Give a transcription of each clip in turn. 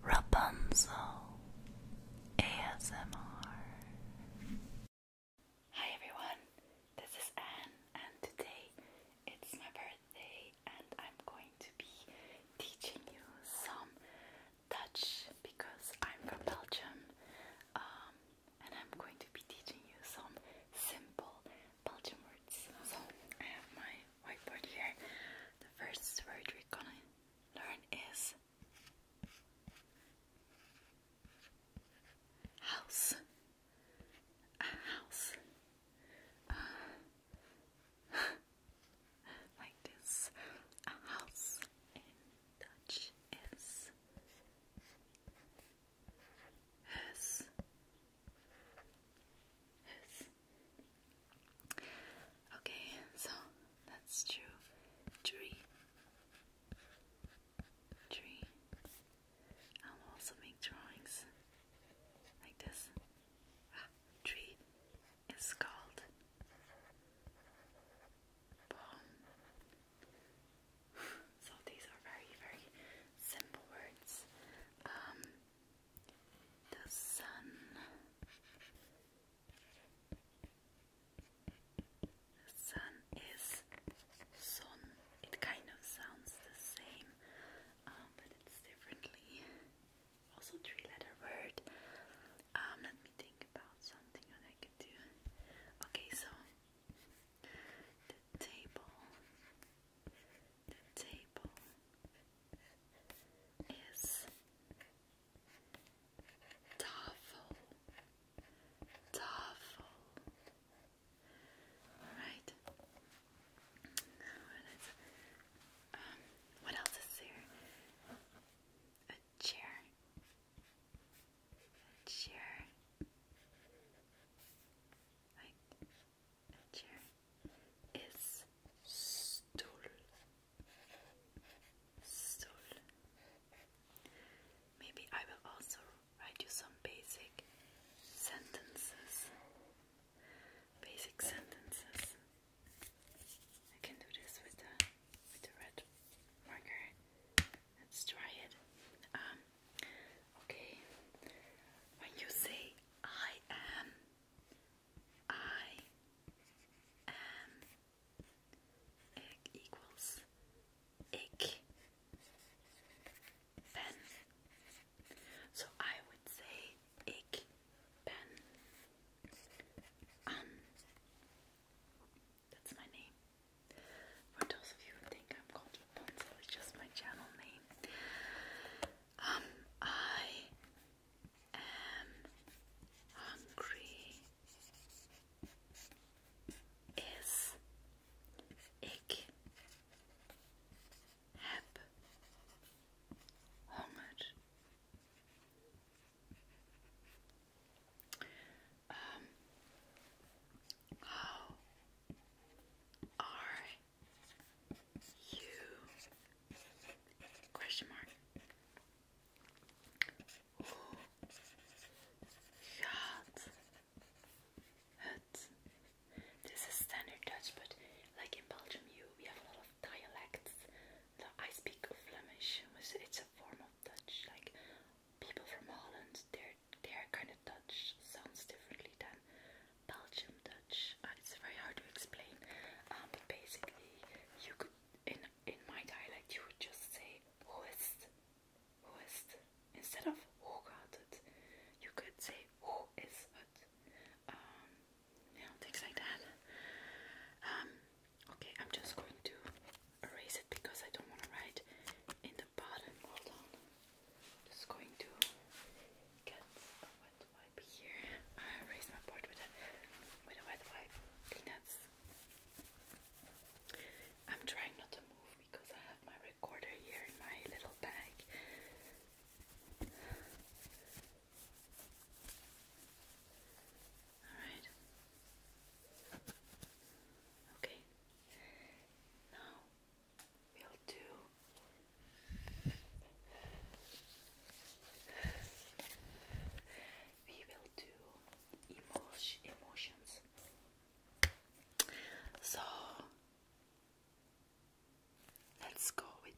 Rapunzel ASMR. Hi everyone, this is Anne, and today it's my birthday, and I'm going to be teaching you some Dutch because I'm from Belgium, um, and I'm going to be teaching you some simple Belgian words. So I have my whiteboard here. The first word we're gonna learn is house. A house. Uh, like this. A house in Dutch is his. His. Okay, so that's true. Tree. Tree. I'll also make drawings like this. Ah, tree is called so these are very, very simple words. Um, the sun. The sun is sun. It kind of sounds the same, um, but it's differently. Also, three-letter word. Um, let me think about something that I could do. Okay, so the table, the table, is tafel, tafel. All right. What is um? What else is there? A chair. chair. Right. chair is stool. Maybe I will also write you some basic sentences. Basic sentences. I can do this with the red marker. Let's try it. Um, okay. When you say I am, I am equals egg pen. So I would say egg pen um that's my name. For those of you who think I'm called Rapunzel, it's just my channel name. Um I am hungry is ik heb honger. Um, you Question mark. Hoe gaat het? This is standard Dutch, but like in Belgium, you we have a lot of dialects. I speak Flemish, it's a form of Dutch. Like people from Holland, their their kind of Dutch sounds differently than Belgium it's very hard to explain, um, but basically, you could in in my dialect you would just say "hoest," "hoest" instead of "hoe gaat het." You could say "hoe is het," um, you know, things like that. Um, okay, I'm just going to erase it because I don't want to write in the bottom. just going to get wet wipe here. I erased my part with a with a wet wipe. That's. I'm trying not to move because I have my recorder here in my little bag. Alright. Okay. Now we'll do we will do emotions. So let's go with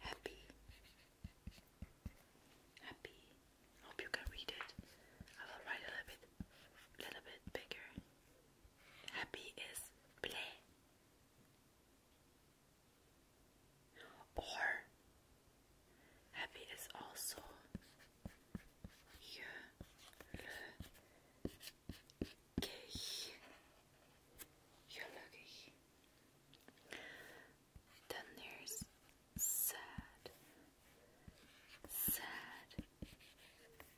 happy. Happy. Hope you can read it. I will write a little bit, little bit bigger. Happy is play. Or happy is also hier gelukkig. Then there's sad, sad,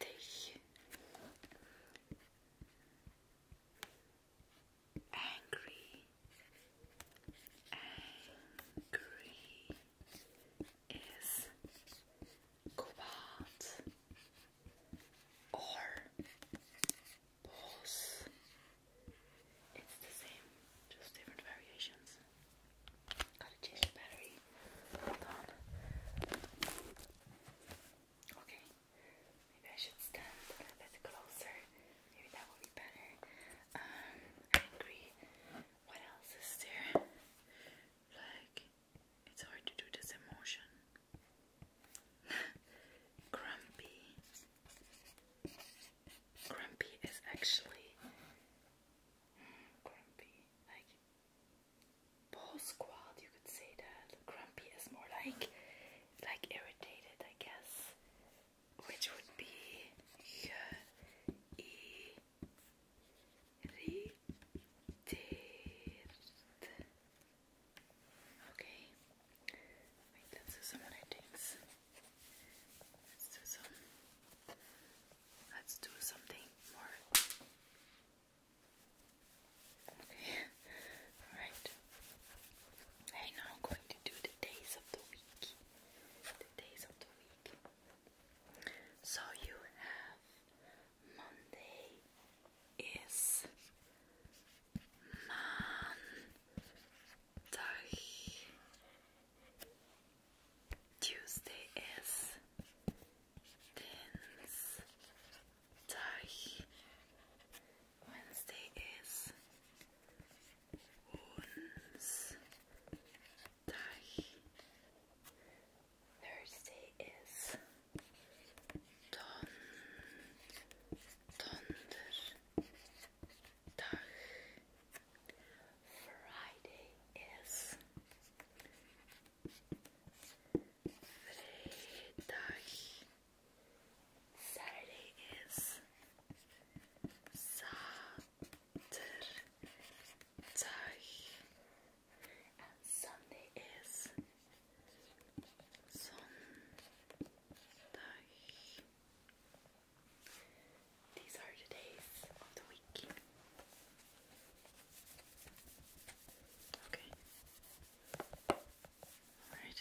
dich angry angry is cobalt or both it's the same just different variations got a change battery Hold on. Okay. Maybe I should stand a bit closer. Maybe that will be better. Um, What else is there? Like, it's hard to do this emotion. grumpy. Grumpy is actually. Hmm, grumpy. Like, ball squad, you could say that. Grumpy is more like like irritated, I guess. Which would be irritated. Okay. Wait, let's do some other things. let's do something more Okay, alright. I'm going to do the days of the week. The days of the week. So you have Monday is Montag. Tuesday is Dienstag. Wednesday is Thursday is Don Donderdag. Friday is Vrijdag. Saturday is Saturdag. And Sunday is Sondag. These are the days of the week. Okay. Alright.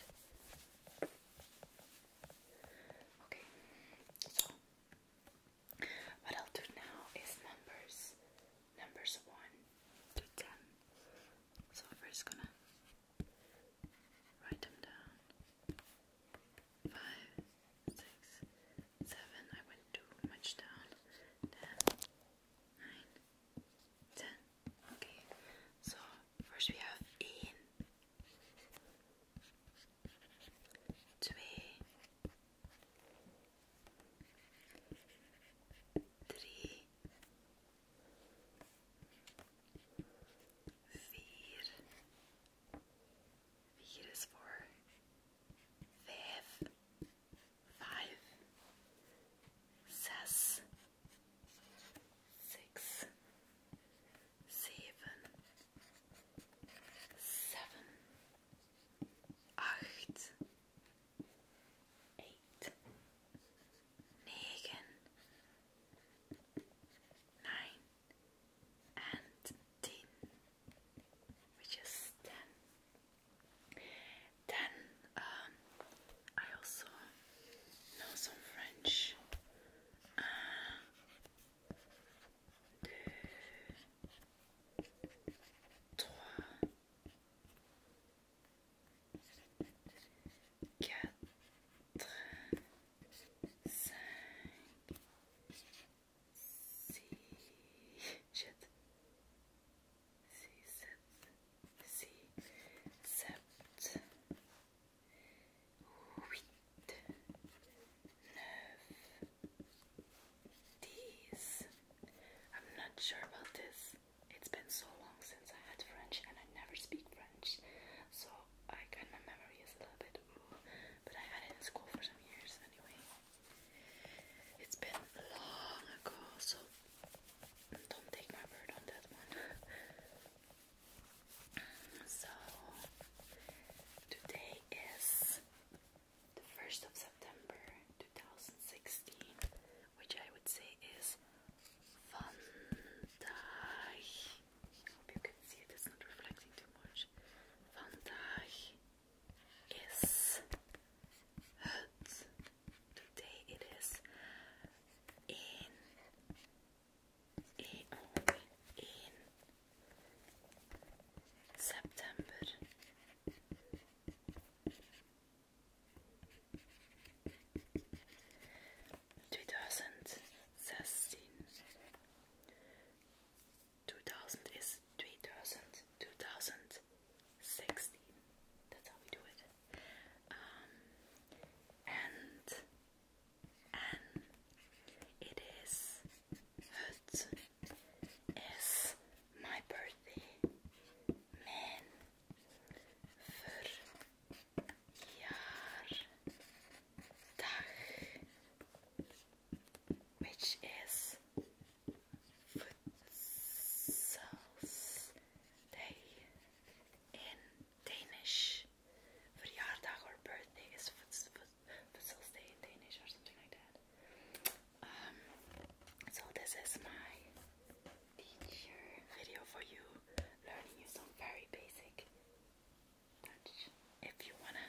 Okay. So what I'll do now is numbers. Numbers one to ten. So first gonna write them down. Five, six, seven. I went too much down. Ten, nine, ten. Okay, so first we have in, twee, drie, vier. Vier is for vijf five, six, six, seven, seven, eight, eight, negen, nine, and ten which is 10. Then um, I also know some French. Uh, sept, I'm not sure about this. It's been so long since I had French and I never speak French. So I kind my memory is a little bit ooh, but I had it in school for some years anyway. It's been long ago, so don't take my word on that one. so, today is the 1st of September 2016, which I would say is Vandaag. I hope you can see it, it's not reflecting too much. Vandaag is Today it is in in, September. Two thousand is three thousand. 60. That's how we do it. Um, and and it is it is my birthday. Men verjaardag, which is Day in Danish. Verjaardag or birthday is Futsels Day in Danish or something like that. so this is my teacher video for you, learning you some very basic Dutch. If you wanna,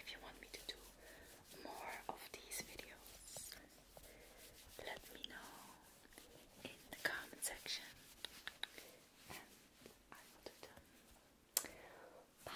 if you want me to do more of these videos, let me know in the comment section. Bye.